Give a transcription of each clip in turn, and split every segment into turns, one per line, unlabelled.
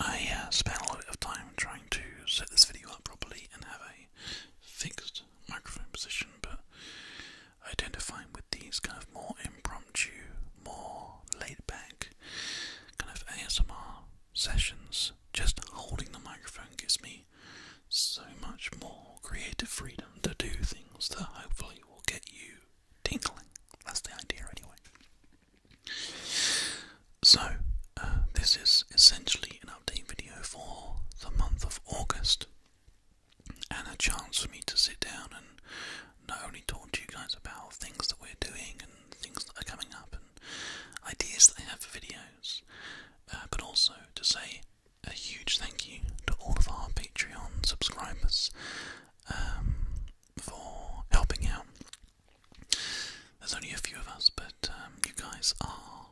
I uh, spent a lot of time trying to set this video up properly and have a fixed microphone position, but identifying with these kind of more impromptu, more laid back kind of ASMR sessions, just holding the microphone gives me so much more creative freedom to do things that hopefully will get you tinkling. That's the idea, anyway. So, uh, this is essentially an update video for the month of August, and a chance for me to sit down and not only talk to you guys about things that we're doing and things that are coming up and ideas that I have for videos, uh, but also to say a huge thank you to all of our Patreon subscribers. Um, for helping out. There's only a few of us, but um, you guys are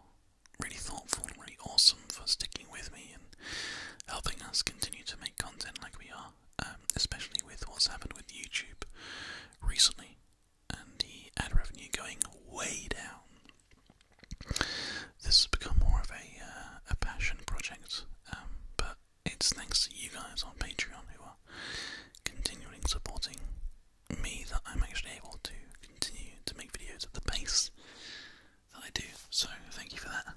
really thoughtful and really awesome for sticking with me and helping us continue to make content like we are, um, especially with what's happened with YouTube recently and the ad revenue going way down. This has become more of a, uh, a passion project, um, but it's thanks to you guys on Patreon who are continuing supporting me that I'm actually able to continue to make videos at the pace that I do. So thank you for that.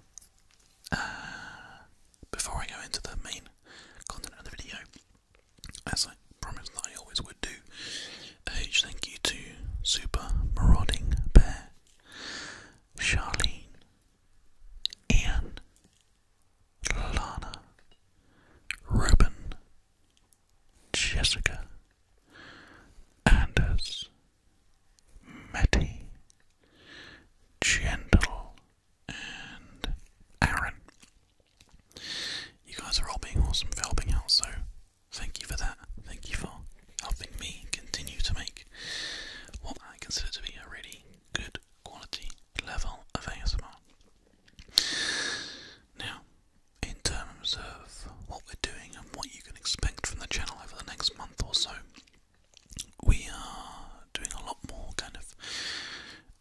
Uh, before I go into the main content of the video, as I promised I always would do, a huge thank you to Super Marauding Bear, Charlene, Anne, Lana, Ruben, Jessica, Anders, Matty, Gentle, and Aaron. You guys are all being awesome for helping out, so thank you for that. Thank you for helping me continue to make what I consider to be a really good quality level of ASMR. Now, in terms of what we're doing and what you can expect from the channel over the next month or so, we are doing a lot more kind of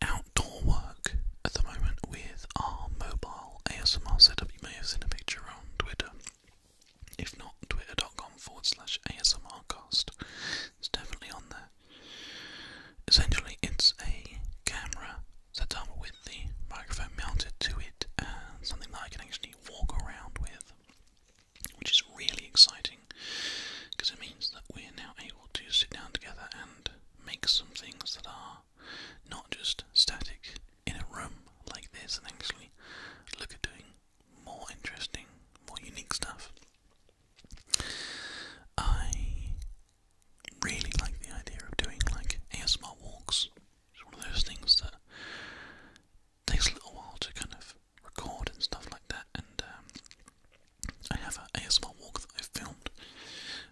outdoor work at the moment with our mobile ASMR setup. You may have seen a picture on Twitter if not, twitter.com ASMRcast. It's definitely on there. Essentially, it's a camera set up with the microphone mounted to it something that I can actually walk around with, which is really exciting because it means that we're now able to sit down together and make some things that are not just static in a room like this and actually look at doing more interesting, more unique stuff. I really like the idea of doing like ASMR walks. It's one of those things that takes a little while to kind of record and stuff like that. And um, I have an ASMR walk that I've filmed,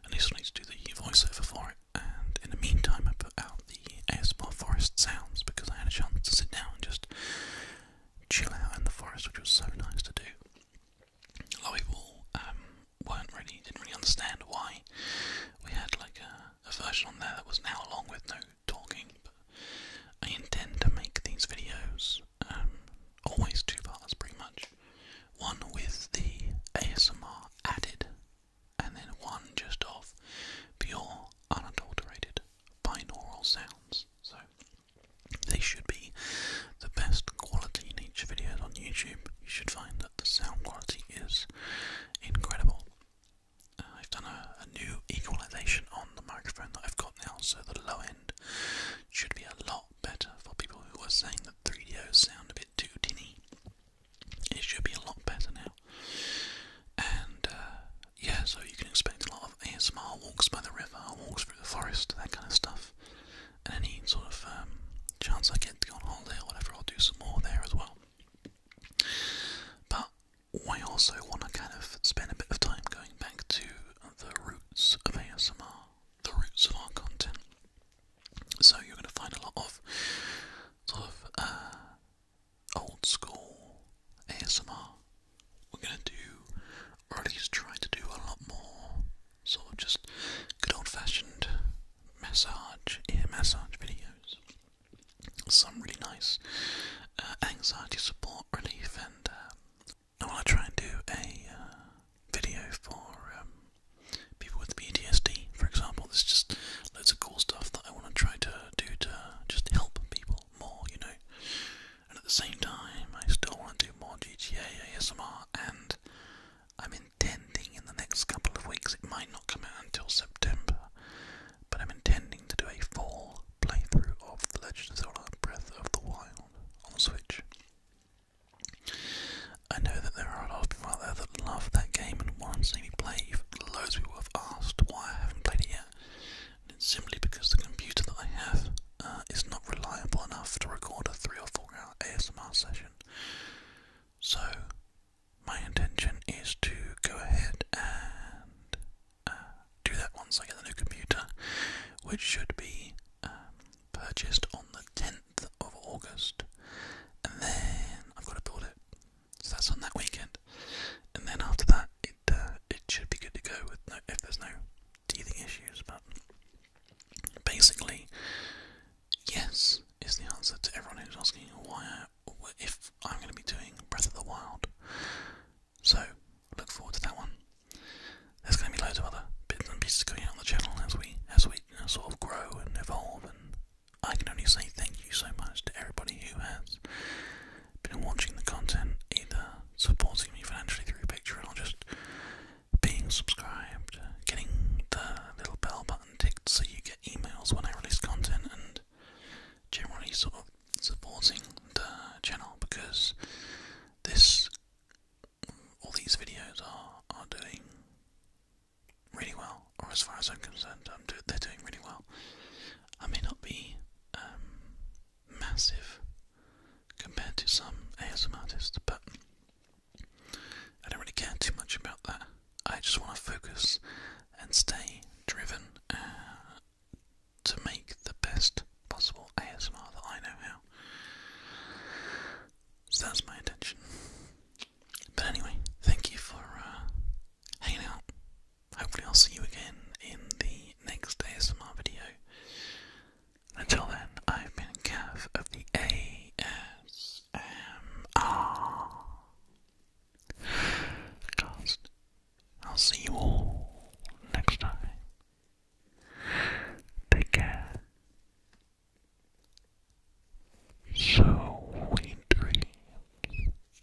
and I just need to do the voiceover for it. And in the meantime, I put out the ASMR forest sounds because I had a chance to sit down and just chill out in the forest, which was so nice to do. A lot of people um, weren't really, didn't really understand why we had like a, version on there that was an hour with no talking. I intend to make these videos um, always two parts, pretty much. One with the ASMR added, and then one just of pure unadulterated binaural sounds. So they should be the best quality in each video on YouTube. You should find that the sound quality is incredible. Uh, I've done a, new equalization on the microphone that I've got now, so the low end should be a lot better for people who are saying that 3DOs sound a bit too tinny. It should be a lot better now. And uh, yeah, so you can expect a lot of ASMR walks by the river, walks through the forest, that kind of stuff. And any sort of um, chance I get to go on holiday or whatever, I'll do some more there as well. But I also want to kind of spend a bit of time going back to the roots of ASMR, the roots of our content. So you're going to find a lot of sort of uh, old school ASMR. We're gonna do, or is trying to do a lot more So just good old fashioned massage, ear massage videos. Some really nice uh, anxiety support, relief, and um, I want to try and do a uh, video for um, people with PTSD, for example. There's just loads of cool stuff that I want to try to do to just help people more, you know. And at the same time, I still want to do more GTA ASMR, and I'm intending in the next couple of weeks, it might not come out until September, but I'm intending to do a full playthrough of The Legend of Zelda Breath of the Wild on Switch. I know that there are a lot of people out there that love that game and want to see me play. Loads of people have asked why I haven't played it yet it's simply because the computer that I have uh, is not reliable enough to record a three or four hour ASMR session. So, my intention is to go ahead and uh, do that once I get the new computer, which should be um, purchased on the 10th of August. And then I've got to build it. So that's on that weekend, and then after that, it uh, it should be good to go with no if there's no teething issues. But basically, yes is the answer to everyone who's asking why I, if I'm going to be doing Breath of the Wild. So look forward to that one. There's going to be loads of other bits and pieces coming out on the channel as we as we sort of grow and evolve and I can only say thank you so much to everybody who has been watching the content, either supporting me financially through Patreon or just being subscribed, getting the little bell button ticked so you get emails when I release content, and generally sort of supporting the channel because this all these videos are, are doing really well or as far as I'm concerned, um, they're doing really well. I may not be um, massive compared to some ASM artists, but I don't really care too much about that. I just want to focus and stay driven uh, to make the best possible ASMR that I know how. So that's my intention. But anyway, thank you for uh, hanging out Hopefully, I'll see you again in the next ASMR video. Until then, I've been Cav of the ASMR cast. I'll see you all next time. Take care. So we